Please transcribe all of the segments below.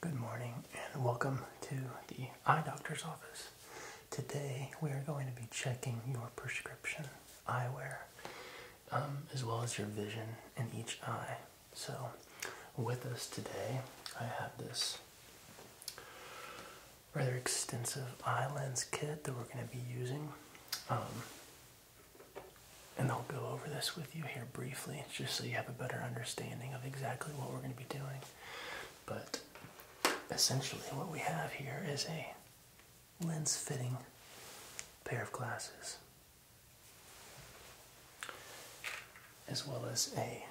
Good morning and welcome to the eye doctor's office. Today we are going to be checking your prescription eyewear um, as well as your vision in each eye. So, with us today, I have this rather extensive eye lens kit that we're going to be using. Um, and I'll go over this with you here briefly just so you have a better understanding of exactly what we're going to be doing. But essentially, what we have here is a lens fitting pair of glasses, as well as a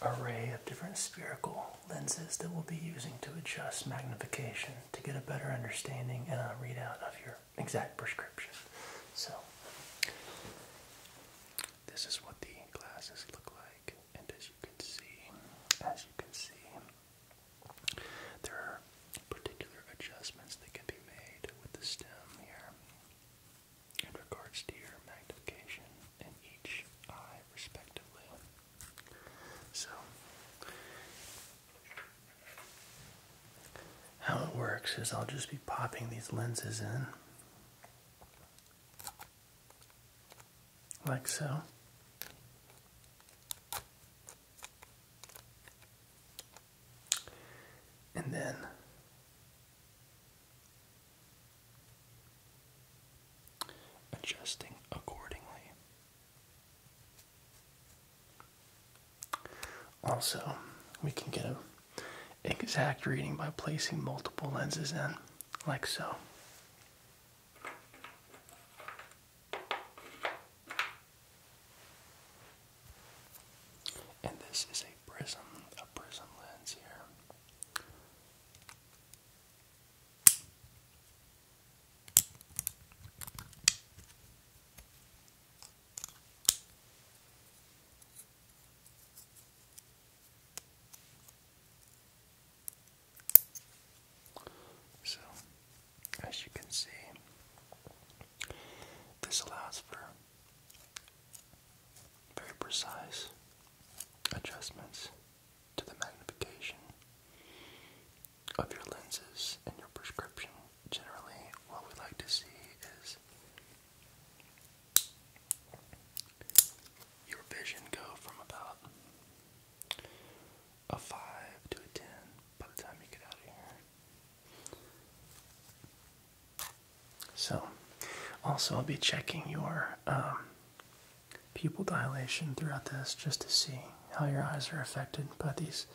array of different spherical lenses that we'll be using to adjust magnification to get a better understanding and a readout of your exact prescription. So this is what the glasses look like, and as you can see, as you can see, there are particular adjustments that can be made with the stem here in regards to your magnification in each eye, respectively. So, how it works is I'll just be popping these lenses in like so. And then adjusting accordingly. Also, we can get a exact reading by placing multiple lenses in, like so. And this is a prism, a prism lens here. So, as you can see, this allows for very precise adjustments to the magnification of your lenses and your prescription. Generally, what we like to see is your vision go from about a 5 to a 10 by the time you get out of here. So, also, I'll be checking your um, pupil dilation throughout this just to see how your eyes are affected by these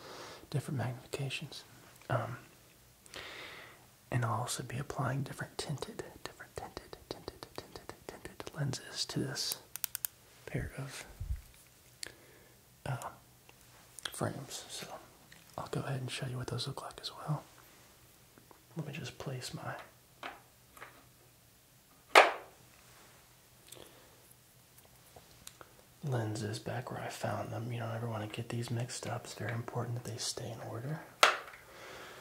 different magnifications. Um, and I'll also be applying different tinted, different tinted, tinted, tinted, tinted lenses to this pair of uh, frames. So I'll go ahead and show you what those look like as well. Let me just place my lenses back where I found them. You don't ever want to get these mixed up. It's very important that they stay in order.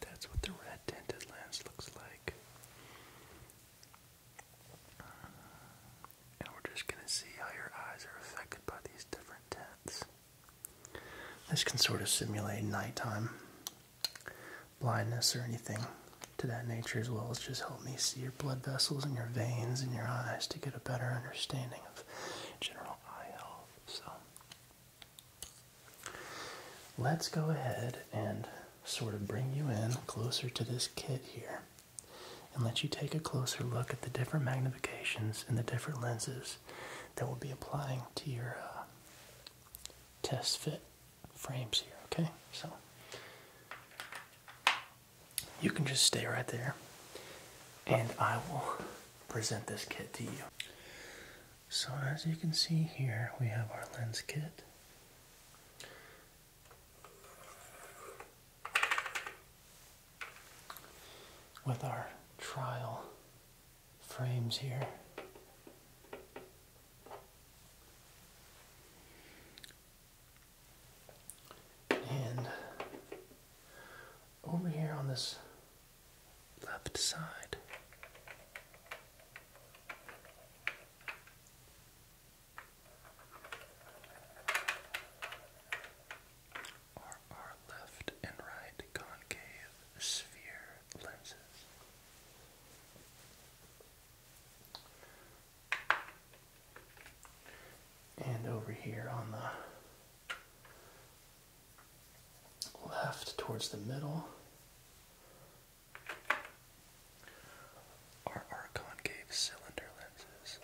that's what the red tinted lens looks like. And we're just going to see how your eyes are affected by these different tints. This can sort of simulate nighttime blindness or anything to that nature as well as just help me see your blood vessels and your veins and your eyes to get a better understanding of general eye health. So Let's go ahead and sort of bring you in closer to this kit here and let you take a closer look at the different magnifications and the different lenses that we'll be applying to your uh, test fit frames here, okay? So you can just stay right there and I will present this kit to you. So, as you can see here, we have our lens kit. With our trial frames here, and over here on this left side. Are our left and right concave sphere lenses? And over here on the left, towards the middle, our concave cylinder lenses?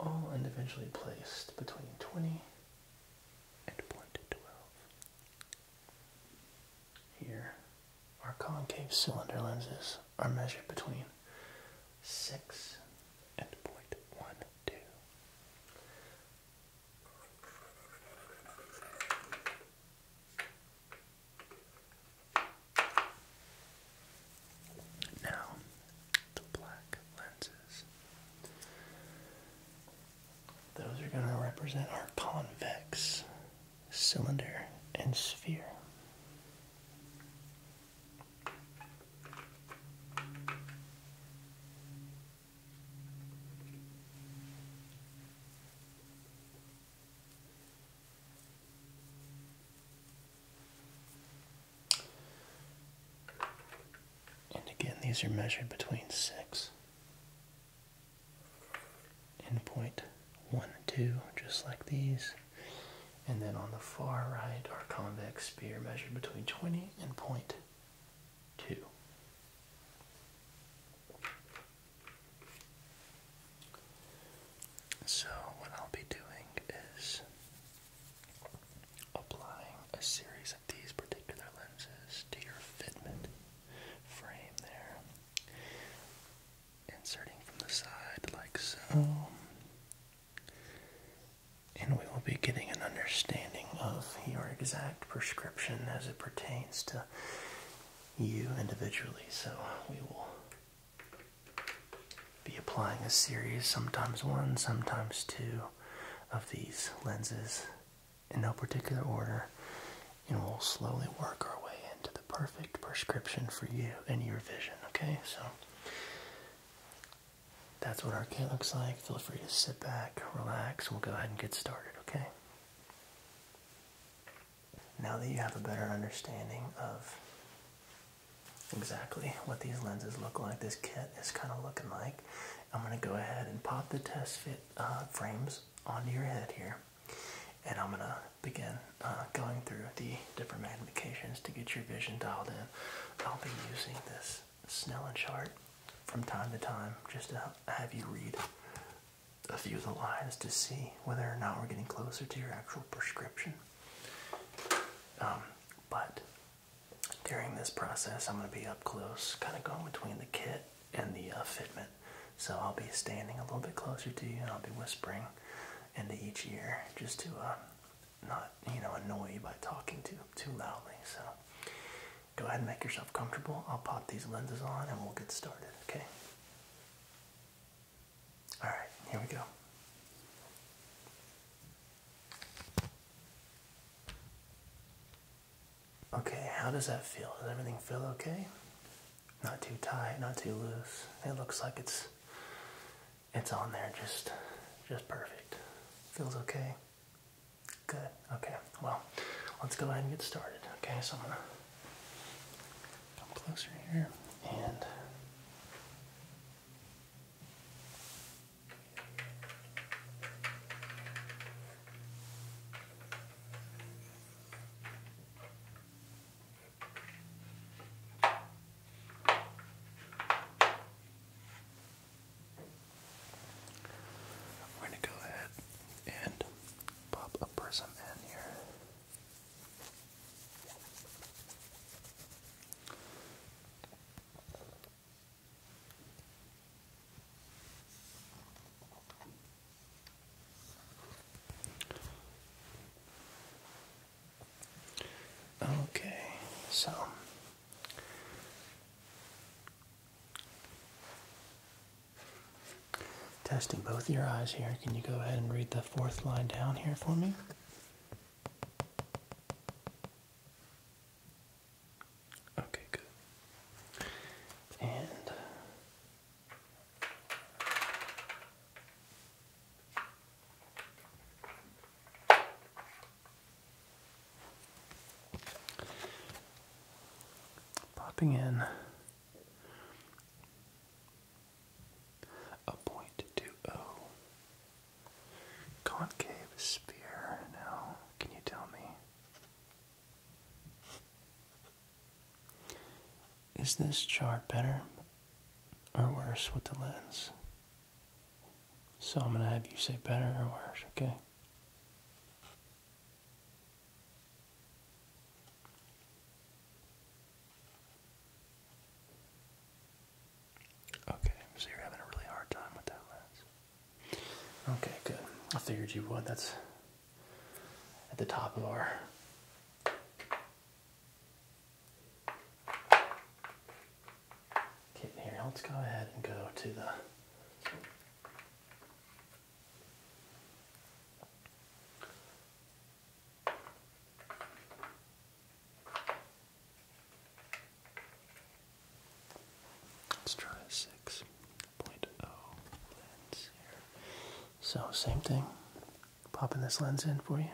All individually placed between 20 and 12. Here, our concave cylinder lenses are measured between 6 and 0.1 now, the black lenses. Those are going to represent our convex cylinder and sphere. And again, these are measured between 6 and 0.12, just like these. And then on the far right, our convex sphere measured between 20 and point two. So, what I'll be doing is applying a series of these particular lenses to your fitment frame there, inserting from the side like so, and we will be getting an understanding of your exact prescription as it pertains to you individually. So we will be applying a series, sometimes one, sometimes two, of these lenses in no particular order. And we'll slowly work our way into the perfect prescription for you and your vision. Okay, so that's what our kit looks like. Feel free to sit back, relax. We'll go ahead and get started, okay? Now that you have a better understanding of exactly what these lenses look like, this kit is kind of looking like, I'm going to go ahead and pop the test fit uh, frames onto your head here. And I'm going to begin uh, going through the different magnifications to get your vision dialed in. I'll be using this Snell and chart from time to time just to have you read a few of the lines to see whether or not we're getting closer to your actual prescription. Um, but during this process, I'm going to be up close, kind of going between the kit and the uh, fitment. So I'll be standing a little bit closer to you and I'll be whispering into each ear just to uh, not, you know, annoy you by talking to too loudly. So go ahead and make yourself comfortable. I'll pop these lenses on and we'll get started, okay? All right, here we go. Okay, how does that feel? Does everything feel okay? Not too tight, not too loose. It looks like it's it's on there just just perfect. Feels okay. Good. Okay. Well, let's go ahead and get started. Okay, so I'm gonna come closer here and we're going to go ahead and pop a prism in here. Okay, so Testing both your eyes here. Can you go ahead and read the fourth line down here for me? Okay, good. And Popping in a point two O concave sphere. Now, can you tell me? Is this chart better or worse with the lens? So I'm going to have you say better or worse, okay? Okay, so you're having a really hard time with that lens. Okay, good. I figured you would. That's at the top of our Okay, here, let's go ahead and go to the Let's try a 6.0 lens here. So, same thing, popping this lens in for you.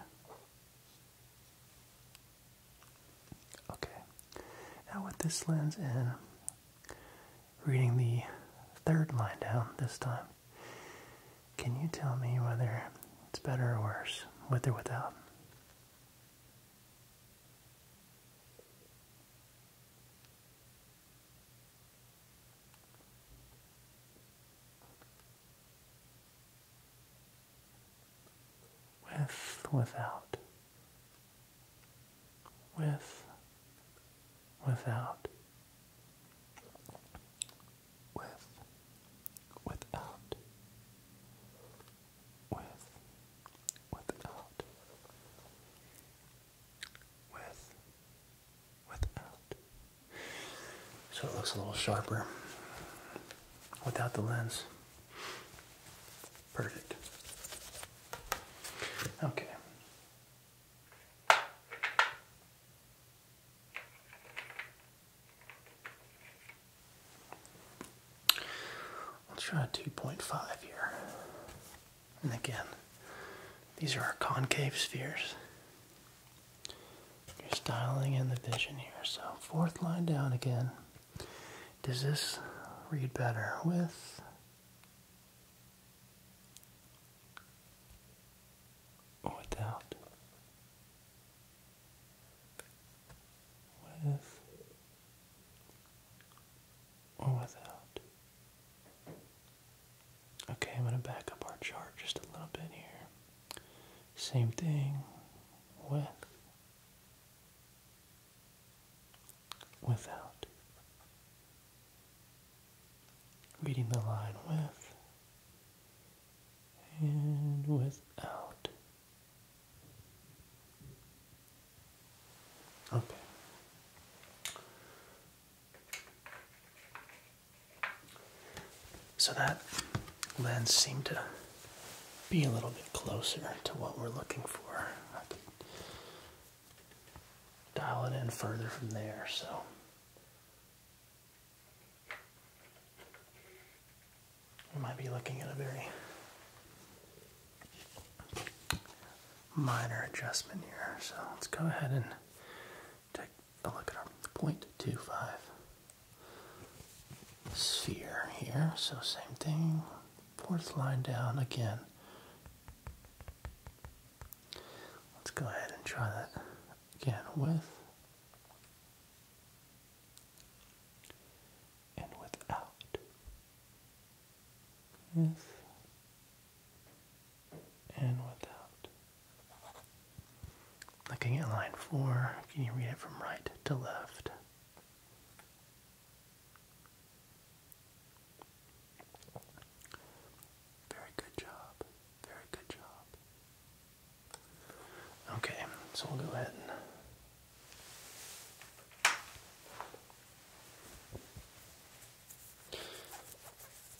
Okay, now with this lens in, reading the third line down this time, can you tell me whether it's better or worse, with or without? with, without, with, without, with, without, with, without, with, without. So it looks a little sharper without the lens. Perfect. Okay. Let's try 2.5 here. And again, these are our concave spheres. Just dialing in the vision here. So, fourth line down again. Does this read better with without, with or without. Okay, I'm going to back up our chart just a little bit here. Same thing with without. Reading the line with and without. Okay. So that lens seemed to be a little bit closer to what we're looking for dial it in further from there. So. We might be looking at a very minor adjustment here. So let's go ahead and take a look at our 0.25 sphere here. So same thing, fourth line down again. Let's go ahead and try that again with and without. With and without. Looking at line four, can you read it from right to left? Very good job. Very good job. Okay, so we'll go ahead and.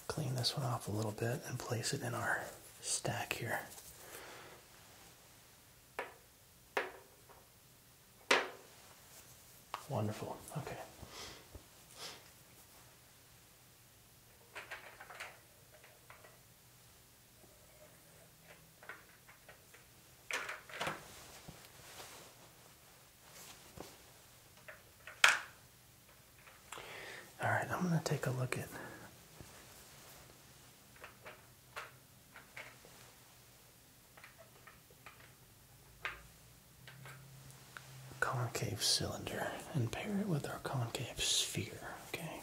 Clean this one off a little bit and place it in our stack here. Wonderful. Okay. All right, I'm going to take a look at concave cylinder and pair it with our concave sphere, okay?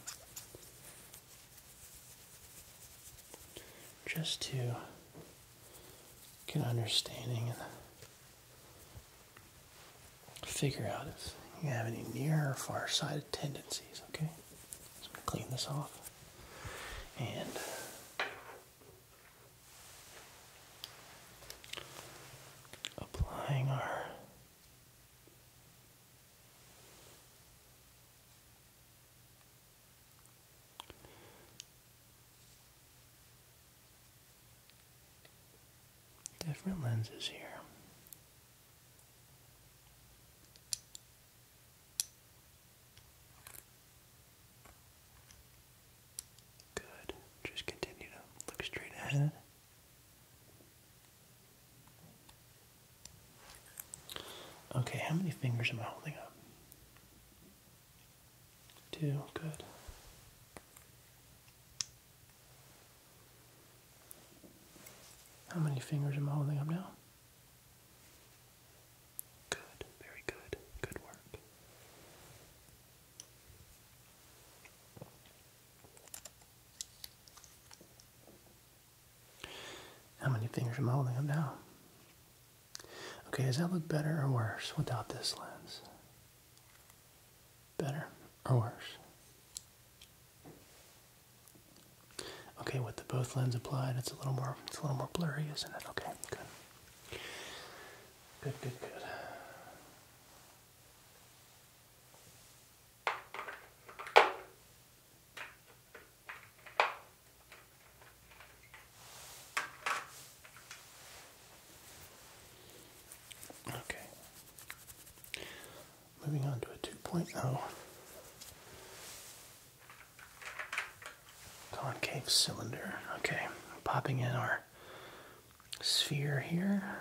Just to get an understanding and figure out if you have any near or far sighted tendencies, okay? So i clean this off and Applying our different lenses here. Good. Just continue to look straight ahead. Okay, how many fingers am I holding up? Two, good. How many fingers am I holding up now? Good, very good, good work. How many fingers am I holding up now? Okay, does that look better or worse without this lens? Better or worse? Okay, with the both lens applied, it's a little more it's a little more blurry, isn't it? Okay, good. Good, good, good. Okay. Moving on to a 2.0. Concave cylinder. Okay, popping in our sphere here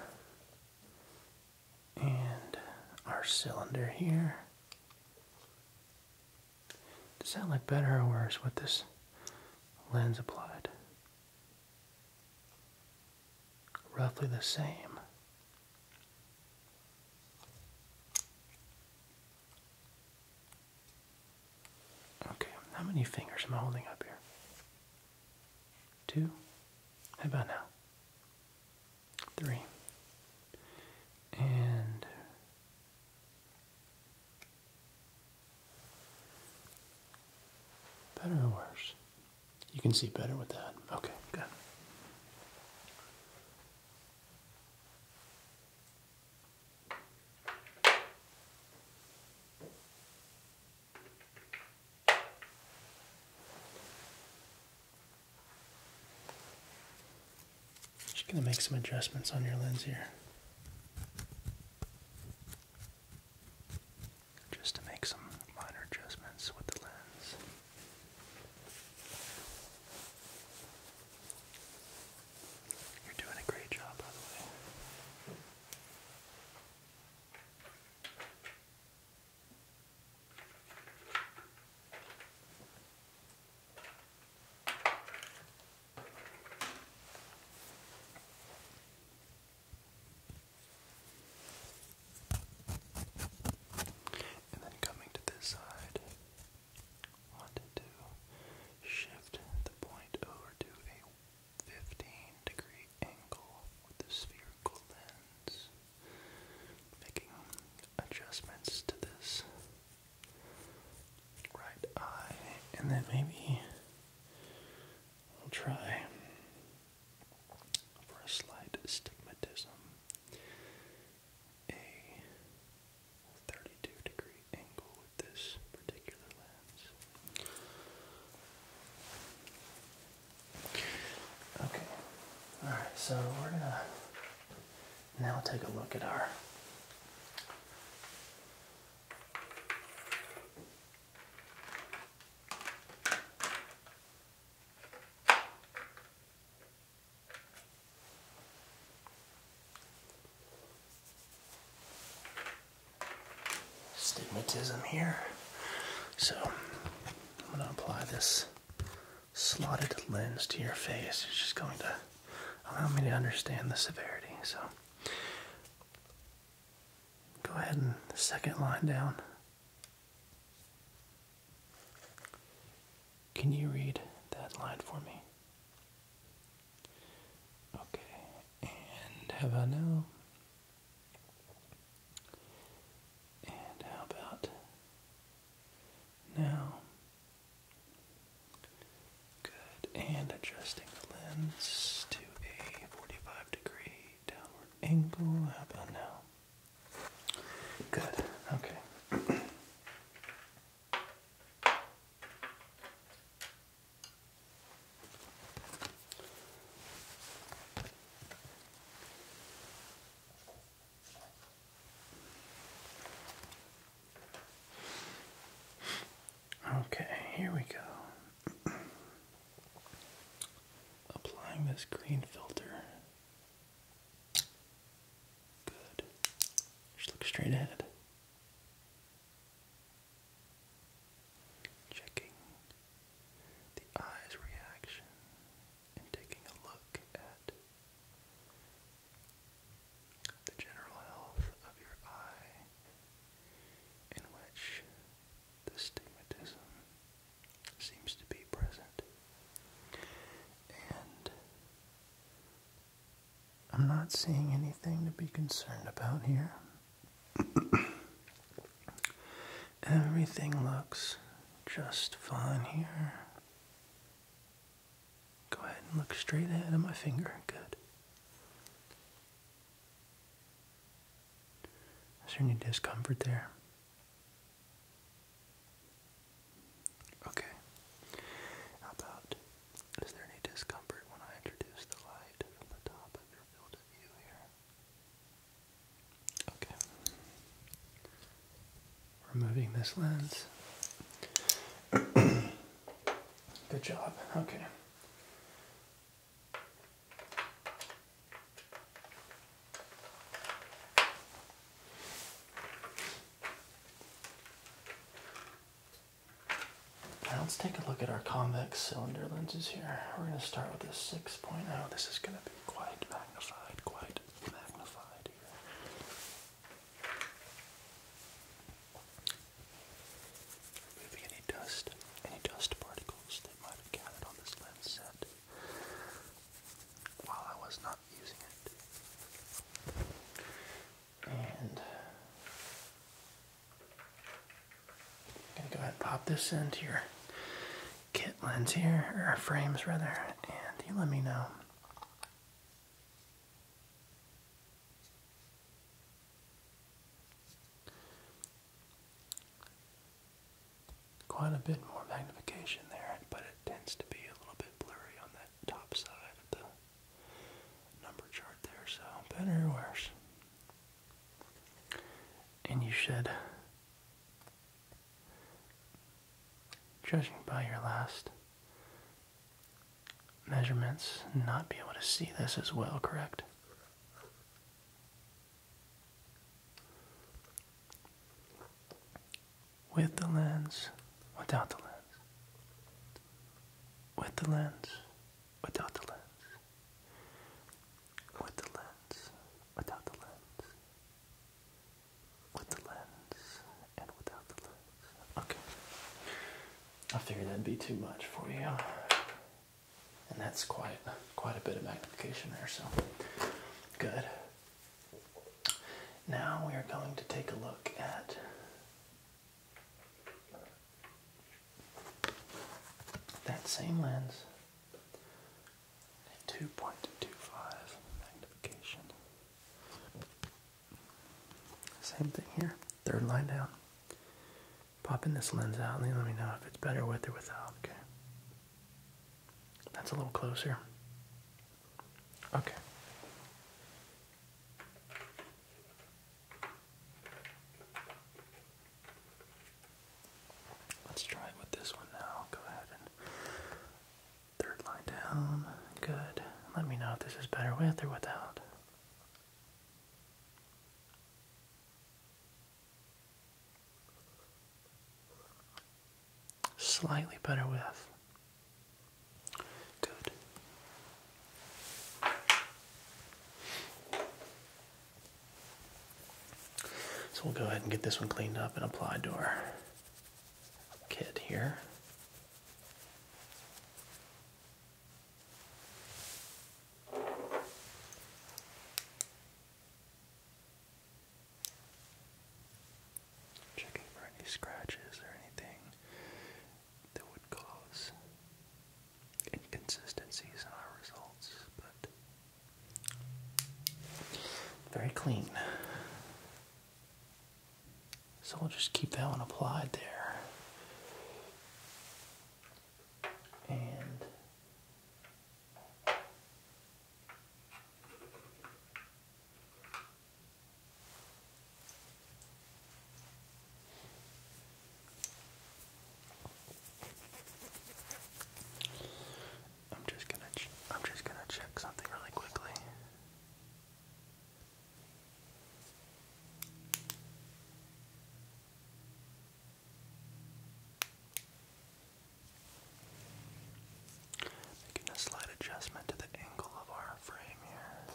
and our cylinder here. Does that look better or worse with this lens applied? Roughly the same. Okay, how many fingers am I holding up here? Two? How about now? Three. And better or worse? You can see better with that. Okay, good. Just gonna make some adjustments on your lens here. Just to make some minor adjustments with the lens. You're doing a great job, by the way. And then coming to this side, want to shift the point over to a 15 degree angle with the spherical lens. Making adjustments to this right eye, and then maybe we'll try for a slight astigmatism, a 32 degree angle with this particular lens. Okay, alright, so we're gonna now take a look at our Stigmatism here. So I'm going to apply this slotted lens to your face. It's just going to allow me to understand the severity. So go ahead and second line down. Can you read that line for me? Okay, and how about now? And how about now? Good, and adjusting the lens to a 45 degree downward angle. How about now? Good, okay. Okay, here we go. Applying this green filter. Good. Just look straight ahead. Checking the eye's reaction and taking a look at the general health of your eye, in which the stigmatism seems to be present, and I'm not seeing anything to be concerned about here. Everything looks just fine here. Go ahead and look straight ahead of my finger. Good. Is there any discomfort there? Okay. How about is there any discomfort when I introduce the light from the top of your field of view here? Okay. Removing this lens. Good job. Okay let's take a look at our convex cylinder lenses here. We're going to start with this 6.0. This is going to be quite magnified, quite magnified Maybe any dust, any dust particles that might have gathered on this lens set while I was not using it. And I'm gonna go ahead and pop this into your kit lens here, or frames rather, and you let me know. Quite a bit more magnification there, but it tends to be a little bit blurry on that top side of the number chart there, so better or worse. And you should, judging by your last measurements, not be able to see this as well, correct? With the lens, without the lens. With the lens, without the lens, with the lens, without the lens, with the lens, and without the lens. Okay. I figured that'd be too much for you. And that's quite quite a bit of magnification there, so good. Now we are going to take a look at that same lens 2.25 magnification. Same thing here, third line down. Popping this lens out let me know if it's better with or without, okay? That's a little closer. Okay. Let's try it with this one now. Go ahead and third line down. Good. Let me know if this is better with or without. Slightly better with. Good. So we'll go ahead and get this one cleaned up and applied to our kit here. Checking for any scratches or anything that would cause inconsistencies in our results, but very clean. So we'll just keep that one applied there. And I'm just gonna I'm just gonna check something really quickly. Making a slight adjustment to the angle of our frame here.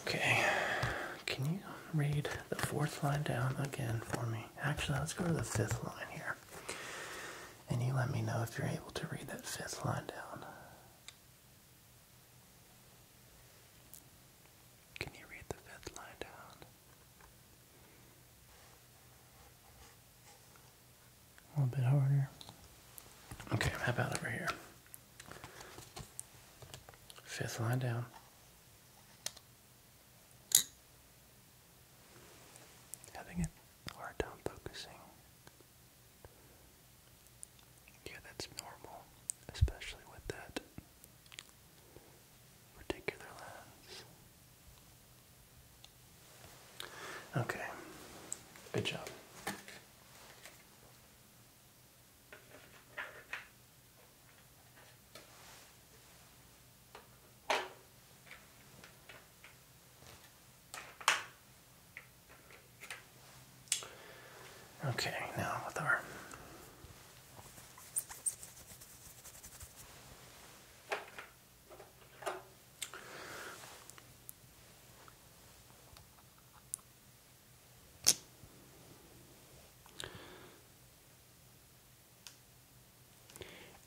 Okay, can you read the fourth line down again for me? Actually, let's go to the fifth line here. And you let me know if you're able to read that fifth line down. Can you read the fifth line down? A little bit harder. Okay, how about over here? Fifth line down. Having a hard time focusing. Yeah, that's normal, especially with that particular lens. Okay, good job. Okay, now with our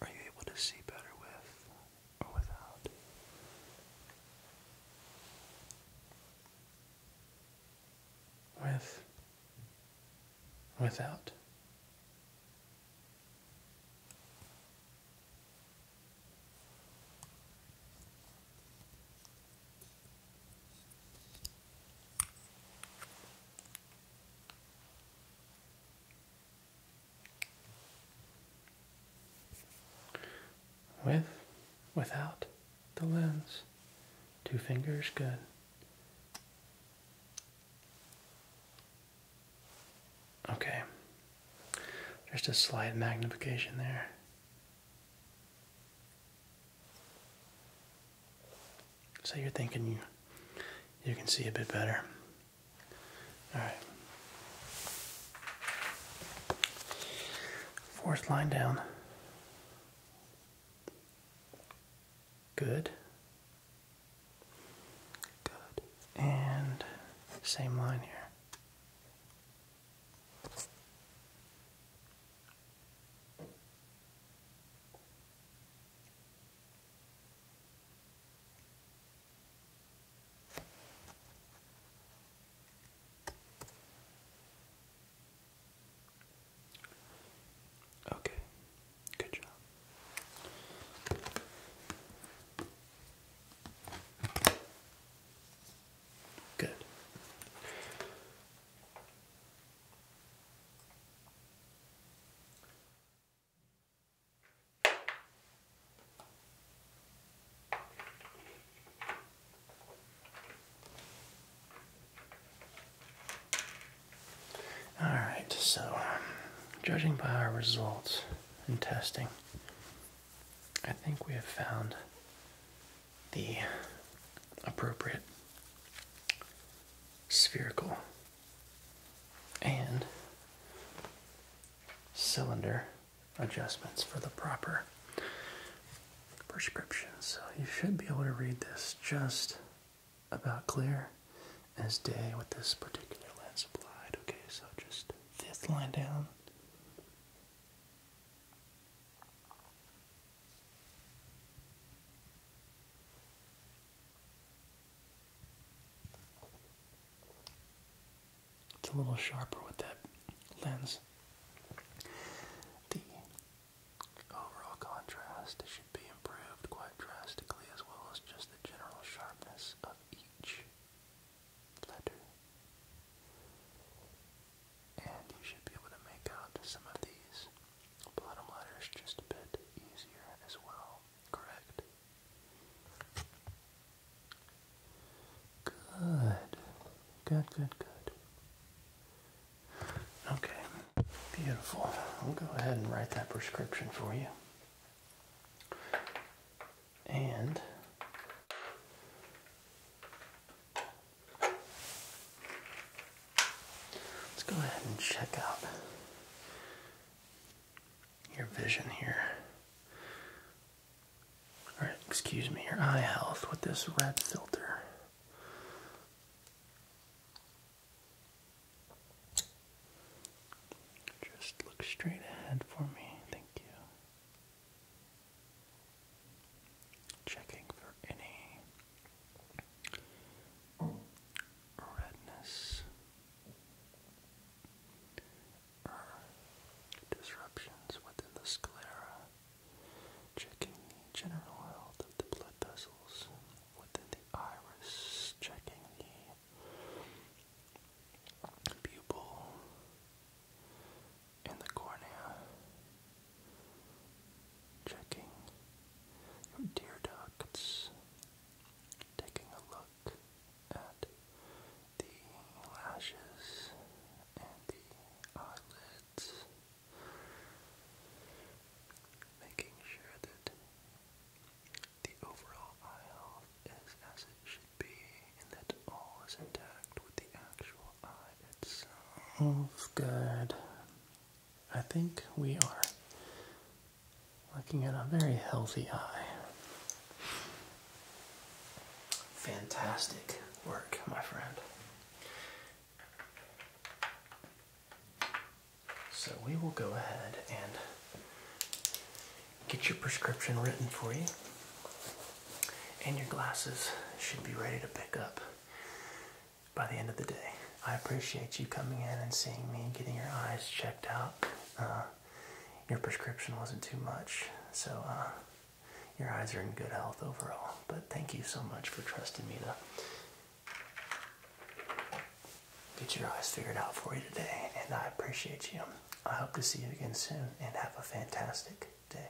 are you able to see better with or without? With without. With, without the lens, two fingers good. Okay, just a slight magnification there. So you're thinking you you can see a bit better. All right. Fourth line down. Good. Good. And same line here. Okay, good job. Good. All right, so um, judging by our results and testing, I think we have found the appropriate spherical and cylinder adjustments for the proper prescription. So you should be able to read this just about clear as day with this particular lens applied. Okay, so just fifth line down. It's a little sharper with that lens. The overall contrast should be improved quite drastically, as well as just the general sharpness of each letter and you should be able to make out some of these bottom letters just a bit easier as well, correct? Good, good, good, good. Okay, beautiful. I'll go ahead and write that prescription for you. And Let's go ahead and check out your vision here. Or excuse me, your eye health with this red filter. Just look straight ahead for me. Thank you. Checking for any redness disruptions within the sclera. Checking the general health of the blood vessels within the iris. Checking the pupil in the cornea, checking your tear ducts, taking a look at the lashes and the eyelids, making sure that the overall eye health is as it should be and that all is intact with the actual eye. It's all good. I think we are looking at a very healthy eye. Fantastic work, my friend. So we will go ahead and get your prescription written for you, and your glasses should be ready to pick up by the end of the day. I appreciate you coming in and seeing me and getting your eyes checked out. Uh, your prescription wasn't too much, so uh, your eyes are in good health overall. But thank you so much for trusting me to get your eyes figured out for you today, and I appreciate you. I hope to see you again soon and have a fantastic day.